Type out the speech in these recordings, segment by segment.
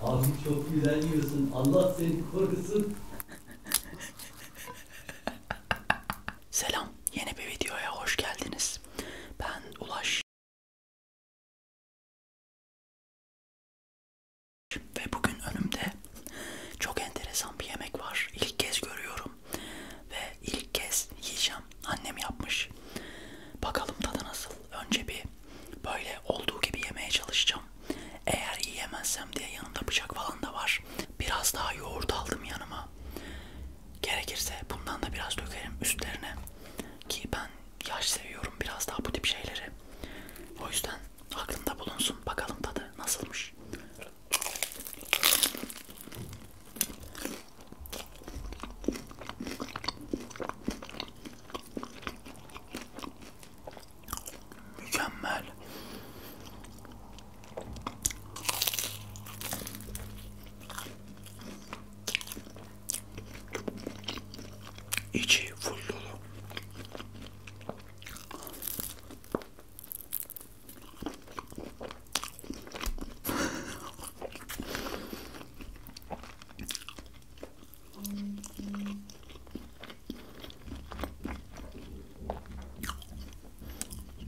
Abi çok güzel yiyorsun. Allah seni korusun. Selam. Yeni bir videoya hoş geldiniz. Ben Ulaş. Ve bugün önümde çok enteresan bir yemek var. İlk kez görüyorum. Ve ilk kez yiyeceğim. Annem yapmış. Bakalım tadı nasıl önce bir böyle olduğu gibi yemeye çalışacağım. Eğer yiyemezsem diye yanımda bıçak falan da var. Biraz daha yoğurt aldım yanıma. Gerekirse bundan da biraz dökerim üstlerine. Ki ben yaş seviyorum biraz daha bu tip şeyleri. O yüzden aklında bulunsun. Bakalım tadı nasılmış. Mükemmel. İçi full dolu.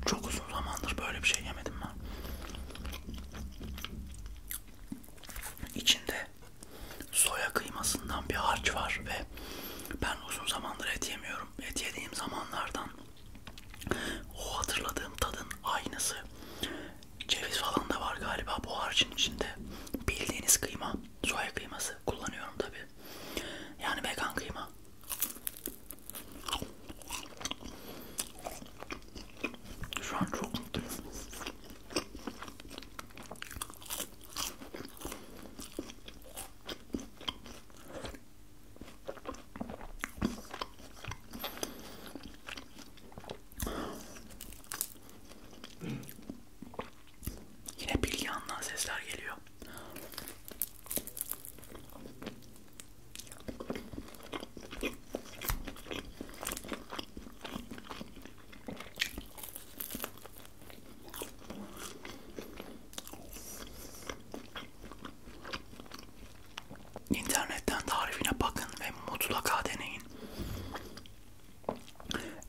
Çok uzun zamandır böyle bir şey yemedim ben. İçinde soya kıymasından bir harç var ve ben uzun zamandır et yemiyorum. Et yediğim zamanlardan o hatırladığım tadın aynısı Ceviz falan da var galiba bu harcın içinde. Bildiğiniz kıyma, soya kıyması kullanıyorum tabi. Yani vegan kıyma. Şu an çok mutluyum. Yine bilyandan sesler geliyor. İnternetten tarifine bakın ve mutlaka deneyin.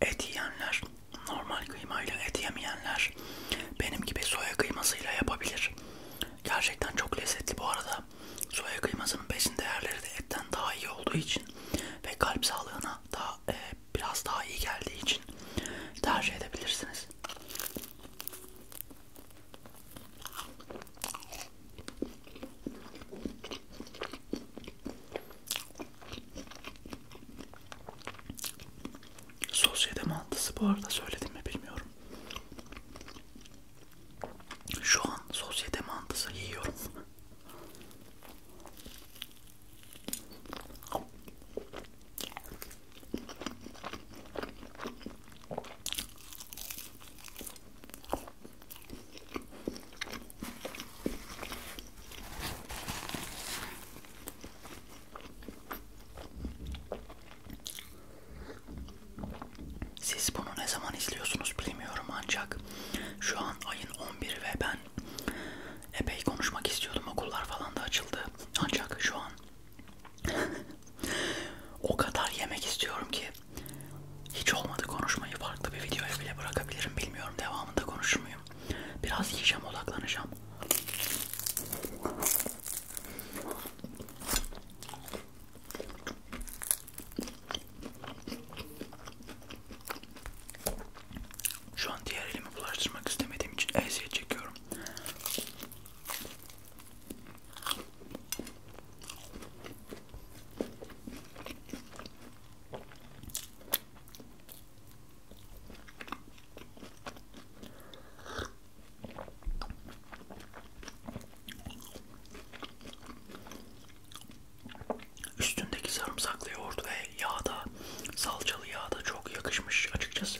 Et yiyenler, normal kıymayla et yemeyenler benim gibi soya kıymasıyla yapabilir. Gerçekten çok lezzetli bu arada. Soya kıymasının besin değerleri de etten daha iyi olduğu için ve kalp sağlığına daha e, biraz daha iyi geldiği için tercih edebilirsiniz. Sosyete mantısı bu arada söyledim mi bilmiyorum. Şu an sosyete mantısı yiyorum. Siz bunu ne zaman izliyorsunuz bilmiyorum ancak şu an ayın 11'i ve ben epey konuşmak istiyordum okullar falan da açıldı ancak şu an o kadar yemek istiyorum ki hiç olmadı konuşmayı farklı bir videoya bile bırakabilirim. Bilmiyorum devamında konuşur muyum. Biraz yiyeceğim odaklanacağım. Şu an diğer elimi bulaştırmak istemediğim için eziyet çekiyorum. Üstündeki sarımsaklı yoğurt ve yağda, salçalı yağda çok yakışmış açıkçası.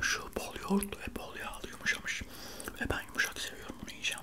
Şu bol yoğurt ve bol yağlı yumuşamış ve ben yumuşak seviyorum bunu yiyeceğim.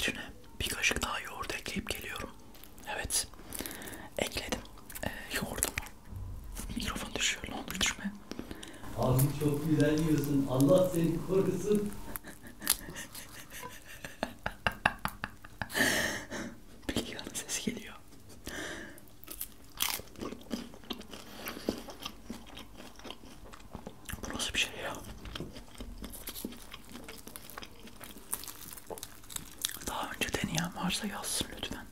Birine bir kaşık daha yoğurt ekleyip geliyorum. Evet, ekledim e, ee, yoğurdumu. Mikrofon düşüyor. Ne olur düşme. Abi çok güzel yiyorsun. Allah seni korusun. Bilgehan'ın sesi geliyor. Bu nasıl bir şey ya? Daha önce deneyen varsa yazsın lütfen.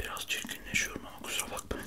Biraz çirkinleşiyorum ama kusura bakmayın.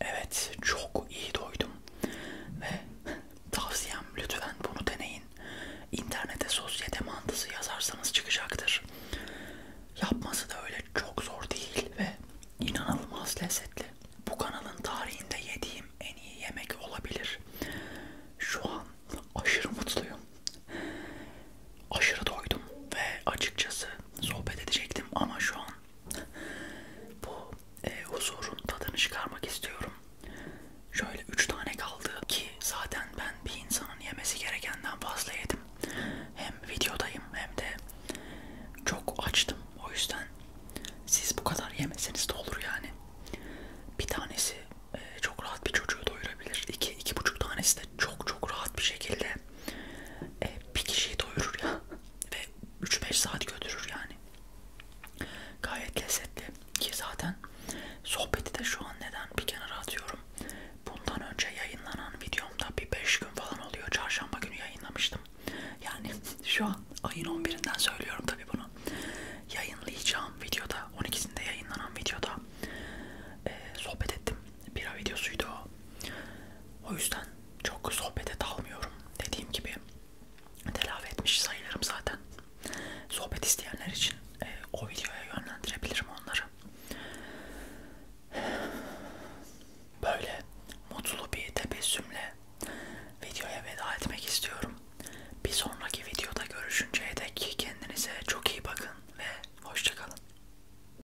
Evet, çok iyi doydum ve tavsiyem lütfen bunu deneyin. İnternete sosyete mantısı yazarsanız çıkacaktır. Yapması da öyle çok zor değil ve inanılmaz lezzetli. Bu kanalın tarihinde yediğim en iyi yemek olabilir. Şu an aşırı mutluyum aşırı doydum ve açıkçası sohbet edecektim ama şu an bu e, huzurun tadını çıkarmak istiyorum. Şöyle 3 tane kaldı ki zaten ben bir insanın yemesi gerekenden fazla yedim. Hem videodayım hem de çok açtım. O yüzden siz bu kadar yemeseniz de olur yani. Bir tanesi e, çok rahat bir çocuğu doyurabilir. 2 iki, iki buçuk tanesi de çok çok rahat bir şekilde e, bir kişiyi doyurur ya ve 3-5 saat götürür yani. Gayet lezzetli ki zaten sohbeti de şu an neden bir kenara atıyorum. Bundan önce yayınlanan videomda bir 5 gün falan oluyor. Çarşamba günü yayınlamıştım. Yani şu an ayın 11'inden söylüyorum tabi bunu. Yayınlayacağım videoda 12'sinde yayınlanan videoda e, sohbet ettim bira videosuydu o. O yüzden çok sohbete dalmıyorum. Dediğim gibi telafi etmiş sayılırım zaten. Sohbet isteyenler için e, o videoya yönlendirebilirim onları. Böyle mutlu bir tebessümle videoya veda etmek istiyorum. Bir sonraki videoda görüşünceye dek kendinize çok iyi bakın ve hoşçakalın.